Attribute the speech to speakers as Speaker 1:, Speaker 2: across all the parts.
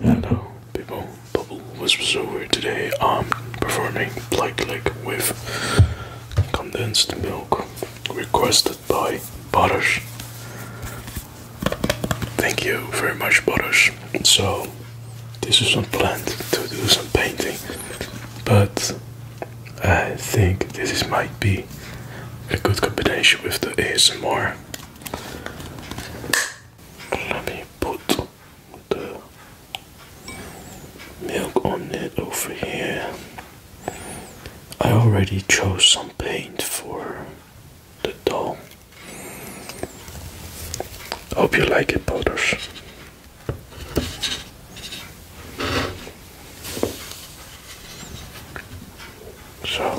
Speaker 1: Hello people, Bubble was over today. I'm um, performing Black Leg with condensed milk requested by Butters. Thank you very much Butters. So this is not planned to do some painting, but I think this might be a good combination with the ASMR. Let me put the milk on it over here. I already chose some paint for the doll. Hope you like it, Butters. So,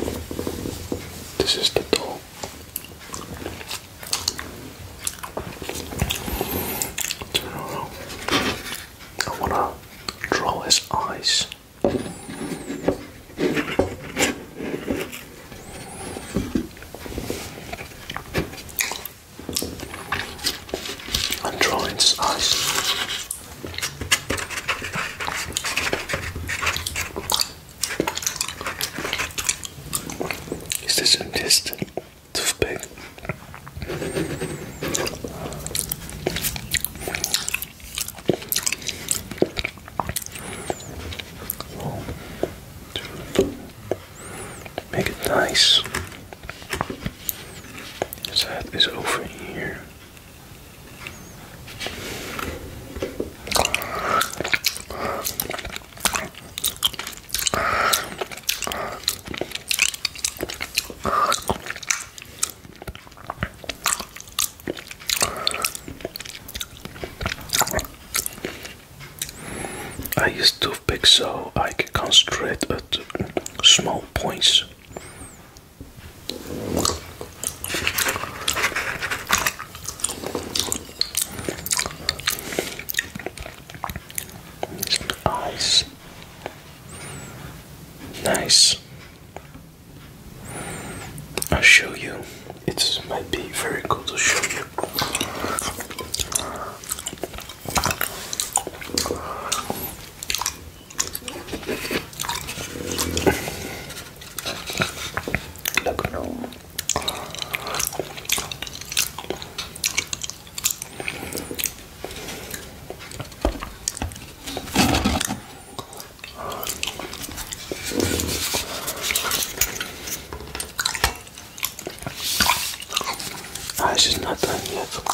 Speaker 1: this is the dough. I wanna draw his eyes. I'm drawing his eyes. Is this a mist toothpick? Make it nice. That is over here. I use toothpick so I can concentrate at small points. Some ice. Nice. I'll show you. It might be very cool to show you. だから足の辺りにやつか。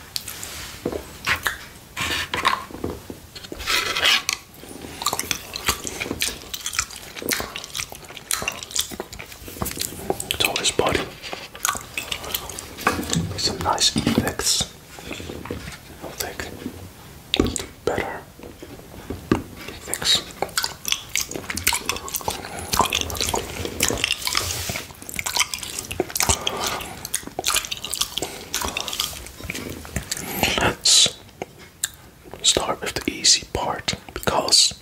Speaker 1: It's always body. Some nice effects. I'll better effects. Let's start with the easy part because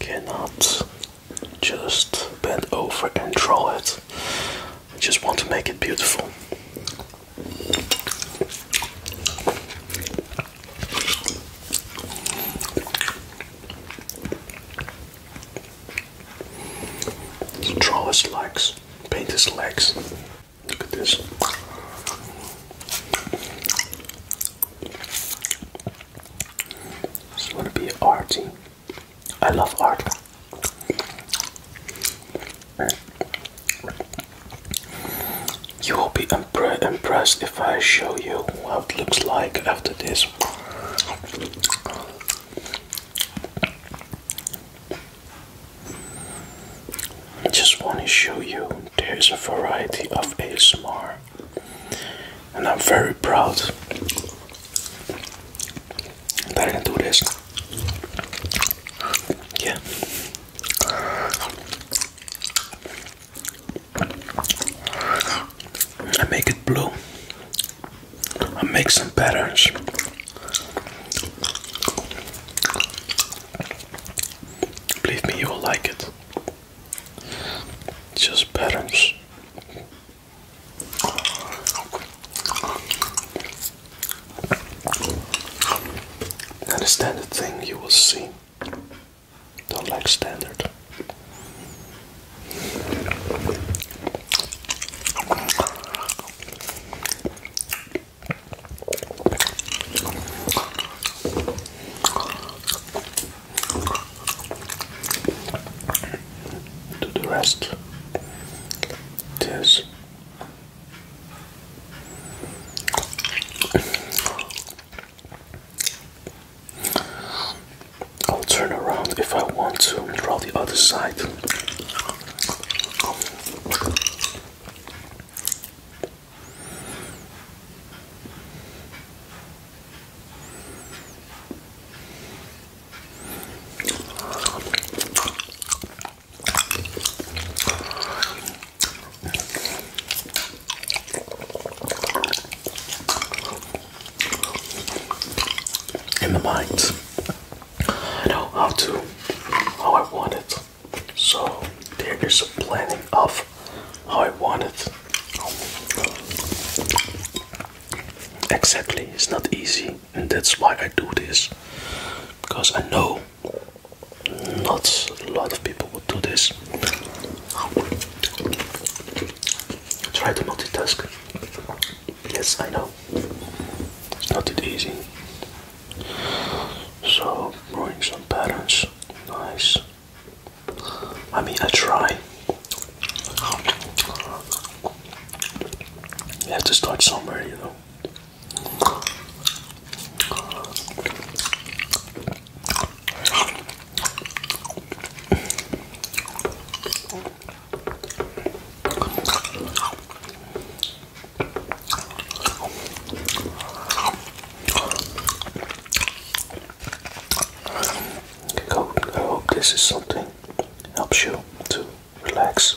Speaker 1: cannot just bend over and draw it. I just want to make it beautiful. Draw his legs, paint his legs. Look at this. I want to be arty. I love art. You will be impressed if I show you what it looks like after this. I just want to show you there's a variety of ASMR, and I'm very proud that I do this. Yeah. I make it blue. I make some patterns. Believe me, you will like it. Just patterns. Understand the thing you will see. Don't like standard. Do the rest. This. I'll turn around if I want to draw the other side in the minds, I know how to, how I want it. So there is a planning of how I want it. Exactly, it's not easy, and that's why I do this because I know not a lot of people would do this this. Try to multitask. Yes, I know. It's not that easy. So, drawing some patterns. Nice. I mean, I try. You have to start somewhere, you know. I hope this is something helps you to relax.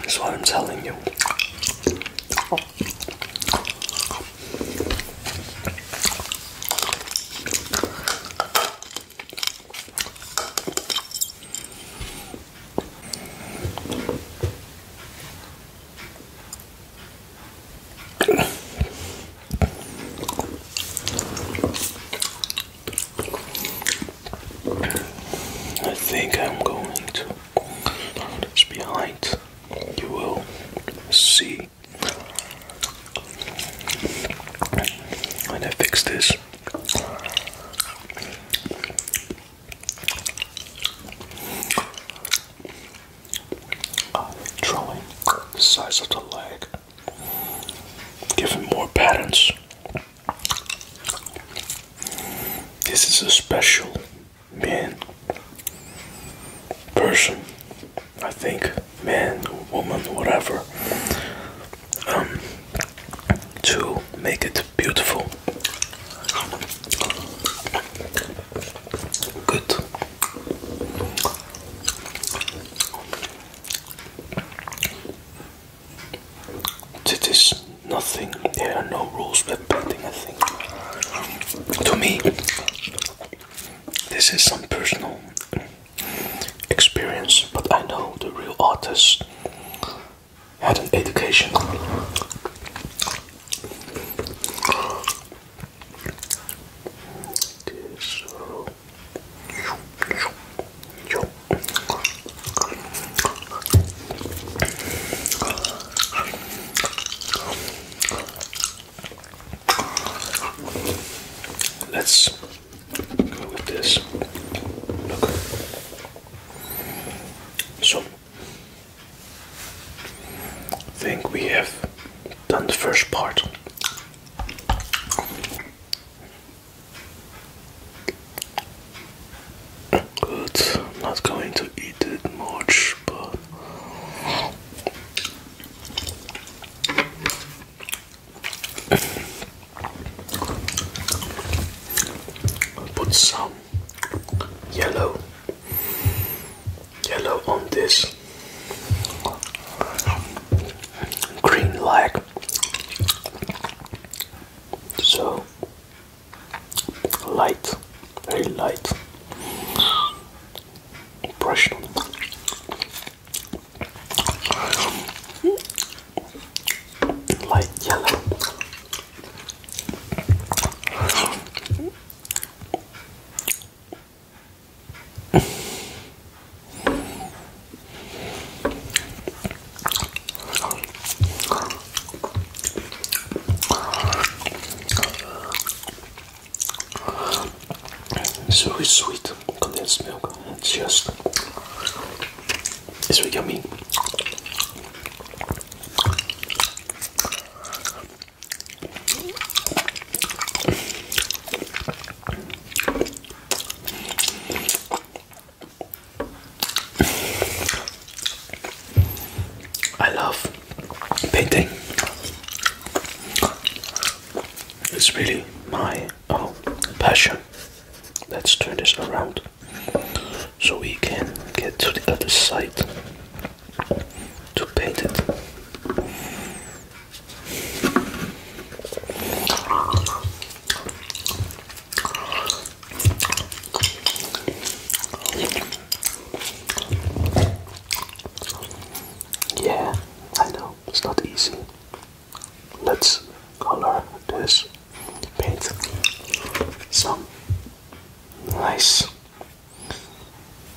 Speaker 1: That's what I'm telling you. I think I'm going to it's behind. You will see I'm gonna fix this. Uh, drawing the size of the leg, Give giving more patterns. This is a special man, person, I think, man, woman, whatever, um, to make it beautiful. Good. This is nothing. There are no rules but painting. I think. To me, this is some personal experience, but I know the real artist had an education. Let's go with this. Look. So, I think we have done the first part. Good. I'm not going to eat it much, but I'll put some yellow yellow on this green like so light, very light impression. Light yellow. It's very sweet condensed milk. It's just it's very yummy. I love painting. It's really my oh, passion. Let's turn this around so we can get to the other side to paint it. Yeah, I know, it's not easy. Let's color this paint some nice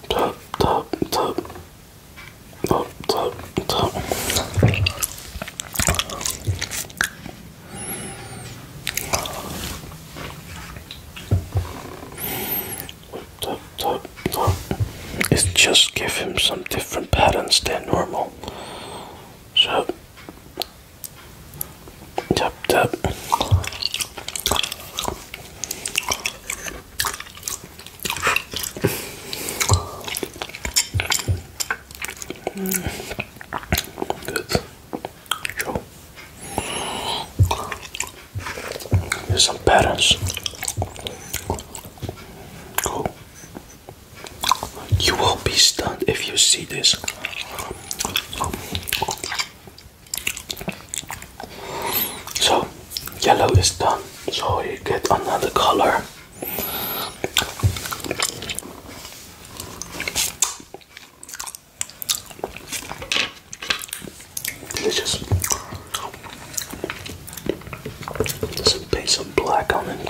Speaker 1: top top top Top, top, top. Top, It's just give him some different patterns than normal. So, tap, tap. Good. Joe. There's some patterns. Cool. You will be stunned if you see this. So yellow is done, so you get another color. Delicious. Just paint some black on it.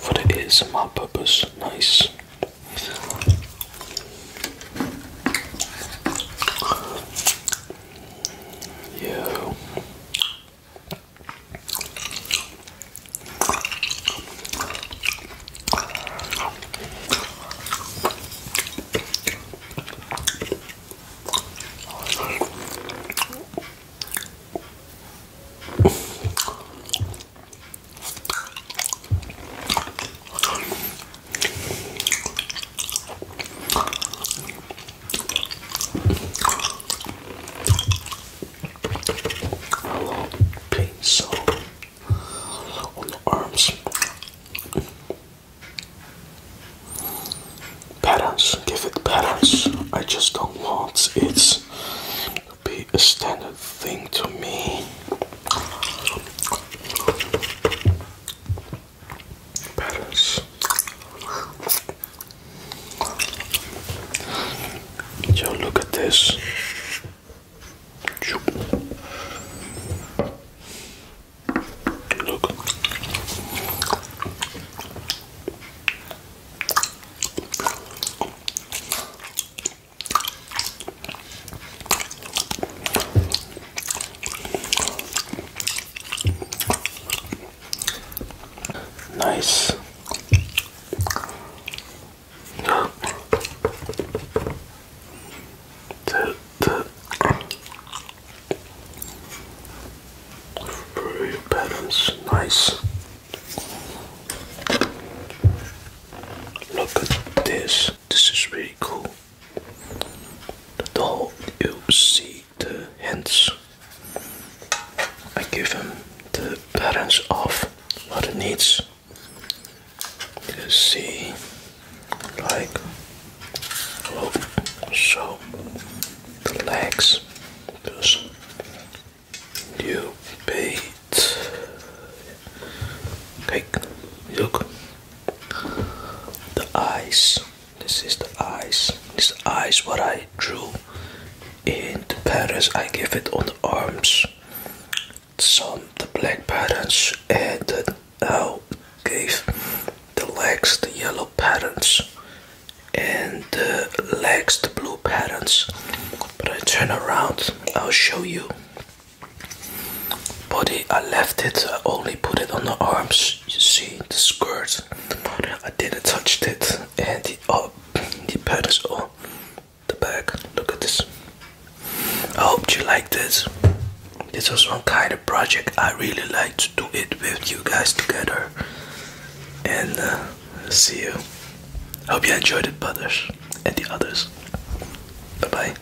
Speaker 1: For the ASMR purpose, nice. Yo. A little pink arms. Patterns, give it patterns. I just don't want it to be a standard thing to me petals. look at this. Look. Nice. The, the Very patterns, nice. Look at this. This is really cool the doll, you see the hints. I give him the patterns of what it needs. You see, like, oh, so the legs, just you beat. Kijk, look, the eyes this is the eyes this eyes what i drew in the patterns i give it on the arms some the black patterns and the owl gave the legs the yellow patterns and the legs the blue patterns but i turn around i'll show you body I left it I only put it on the arms you see the skirt I didn't touch it and the up oh, the patterns on oh, the back look at this I hope you like this this was one kind of project I really like to do it with you guys together and uh, see you hope you enjoyed it brothers and the others bye bye